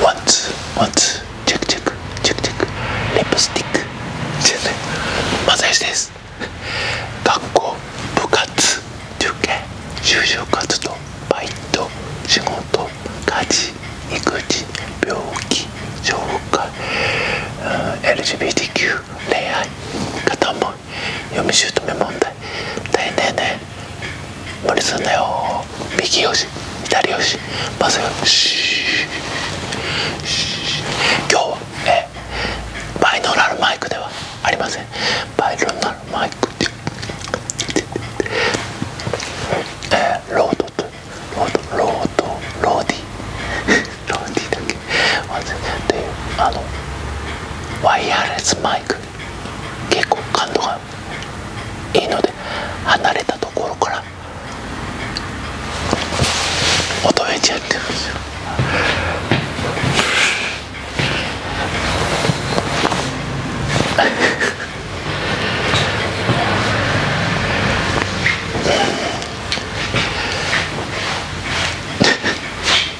What? What? Check check check check. Lipstick. まさよしです。学校、部活、受験、就職活動、バイト、仕事、家事、育児、病気、障害、LGBTQ、恋愛、片思い、嫁姑問題。さいねえねねえ無理すんなよ右よし左よしバスよし今日はえバイノーラルマイクではありませんバイノーラルマイクでえロードとロードロードローディローディだけあのワイヤレスマイク結構感度がいいので離れたところから音がちゃってるんですよ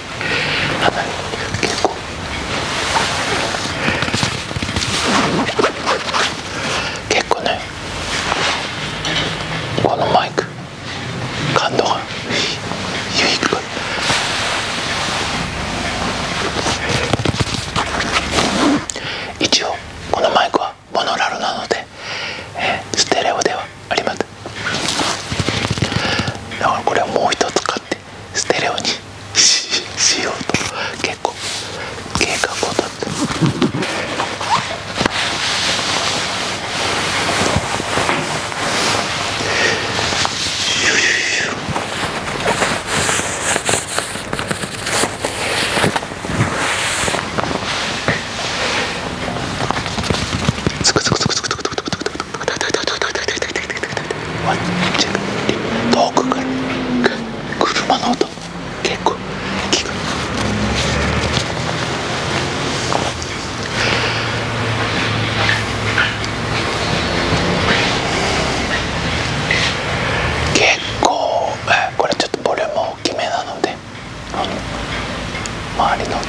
離れて結構結構ねこのマイク感度が低く一応このマイクはモノラルなので、えー、ステレオではありませんだからこれをもう一つ買ってステレオにししようと結構計画を立ってつくつくつくつくつく遠くから車の音結構聞く結構これちょっとボリューム大きめなのであの周りの音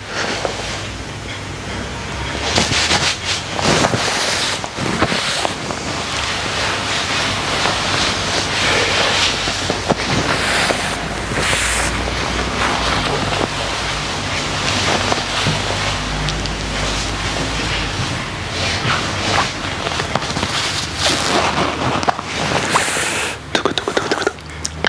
トクトクトクトクトクトクトクト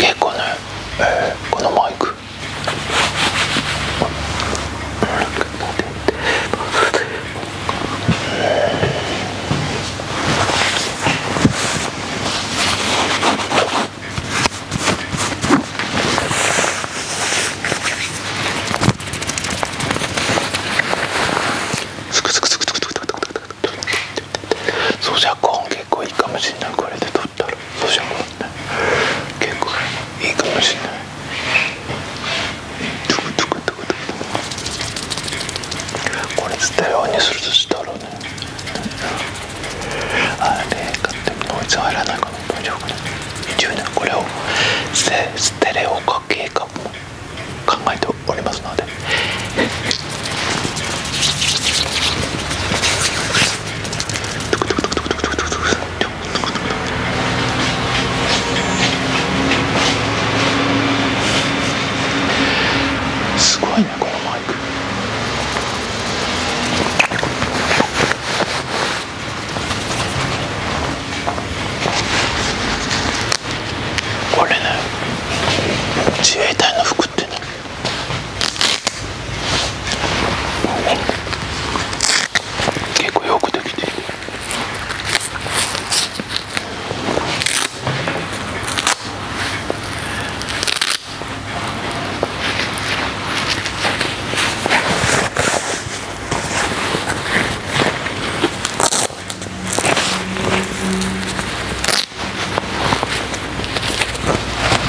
結構ね、このマイクそうじゃコーン結構いいかもしれないこれで取ったら。るそしてもね結構いいかもしれないこれステレオにするとしたらねあれ買ってもノイズ入らないかな大丈夫かな一応ねこれをステレオ化計画も考えておりますのですごいねこのマイクこれね自衛隊の服ってね結構よくできてる。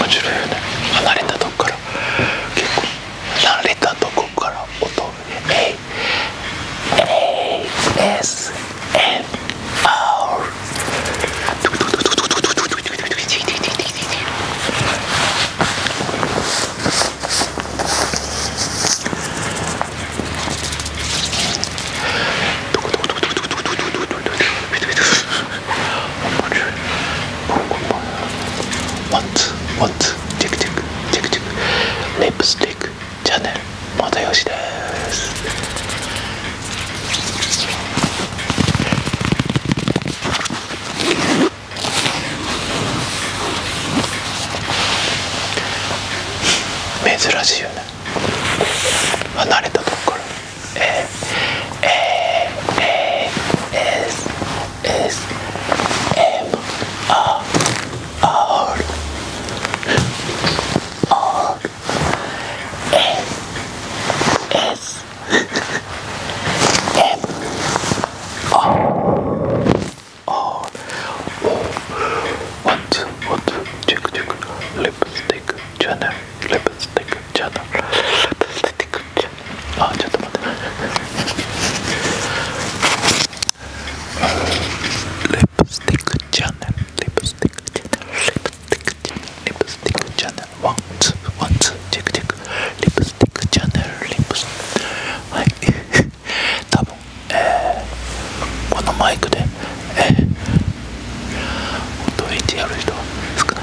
面白いよねれたとこから結構慣れたとこから音をね ASMR What? What? チェクチェクチェクチェクリップスティックチャンネルまたよしです珍しいよね離れたとこかえ。ええ。えー、えー、えー、えー、えー、M R R R S S M R R What what check check lipstick channel lipstick channel lipstick channel Ah just lipstick channel lipstick channel ティックチャンネルリプスティックチャンネルワンツーワンツーチェックチェックリプスティックチャンネルリプスはい多分えー、このマイクでええ。音を入れてやる人は少ない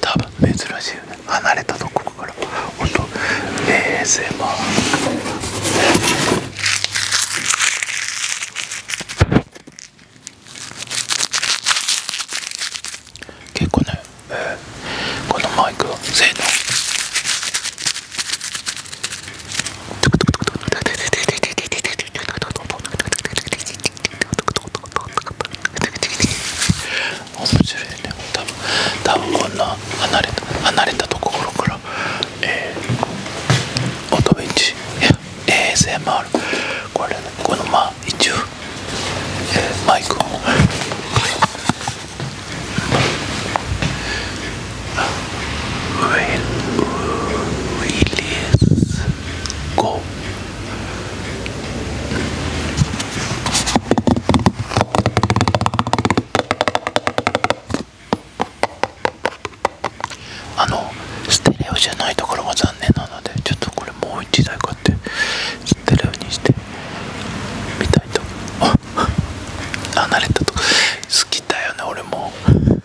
多分珍しいよね離れたとこから音 ASMR 結構ね、えー、このマイクは性能面白いね多分多分こんな離れた離れたところからえー、オトビッチや ASMR これ、ね、このまあ一応、えー、マイクをウィリス。ゴー。あのステレオじゃないところが残念なのでちょっとこれもう一台買ってステレオにしてみたいとあ。離 れたと好きだよね俺もちょっと。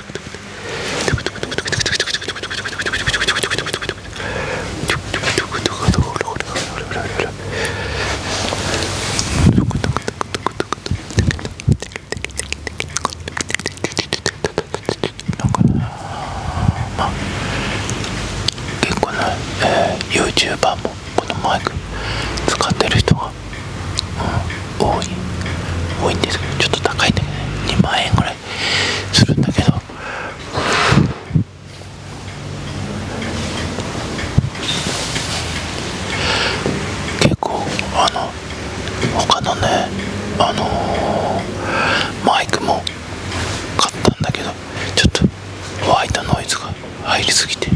なんかね結構ね、えー、y o u t u b e もこのマイ使ってる人が多い多いんですけどちょっと高いんだけど、ね、2万円ぐらいするんだけど結構あの他のねあのマイクも買ったんだけどちょっと湧いたノイズが入りすぎて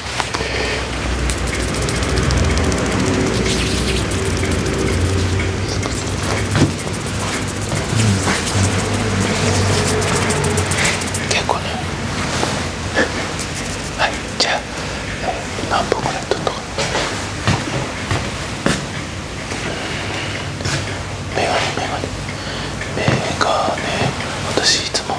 結構ね はいじゃあ、え何本ぐらい取っとかメガネメガネメガネ私いつも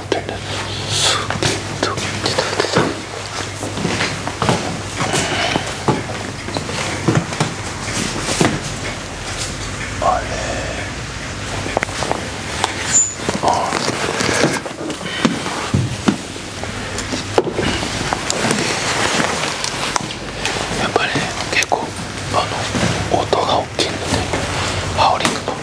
待ってねちょっと待ってたあれあやっぱり結構あの音が大きいのでハウリング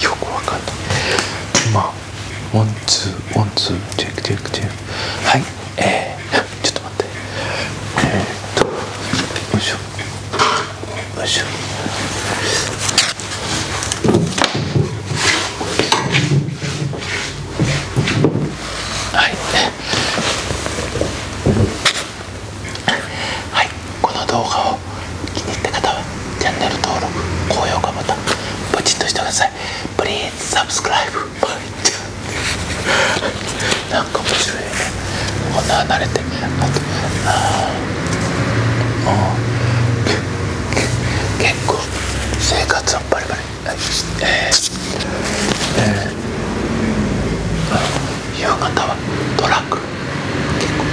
よくわかんない今ワンツーワンツーチェックチェックチェックはいえー、ちょっとえっとよいしょよいしょはいこの動画を気に入った方はチャンネル登録高評価ボタンポチッとしてください Please s u b s c なんか面白いよねこんな慣れてあとあもう結構生活はバリバリえー、えー、夕方はトラック結構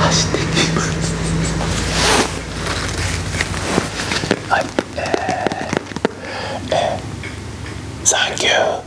走ってきますはいえー、えー、サンキュー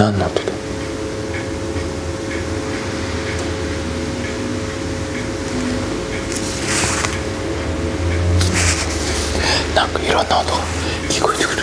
何の音だなんかいろんな音が聞こえてくる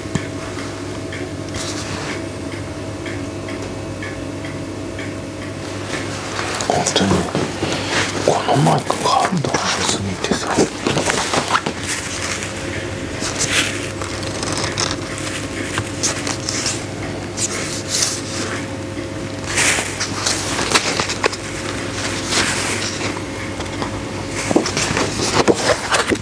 本当にこのマイク感度がしすぎてさ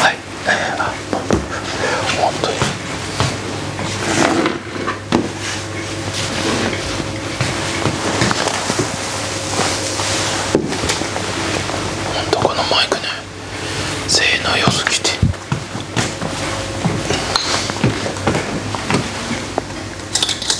はいえー、あ本当に本当このマイクね性能よすぎて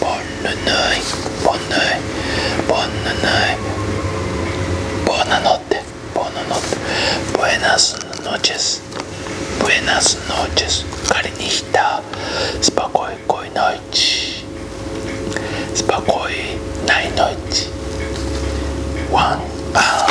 Bonnenøy, Bonnøy, Bonnenøy Buonanotte, buonanotte Buenas noches, buenas noches Karinihta, spokojkoj noć Spokojnaj noć One pound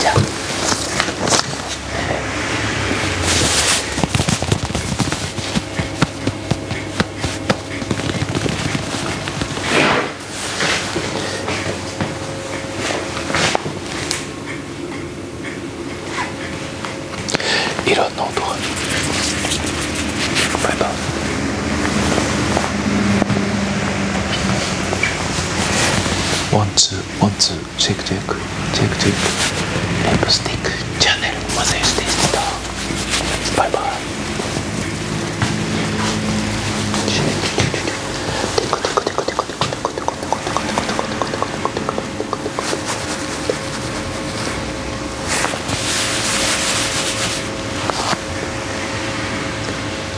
じゃあいろんな音がバワンツーワンツーシェックチェックチェックチェイクリップスティックチャンネルマセージでーたバイバイ Thank you.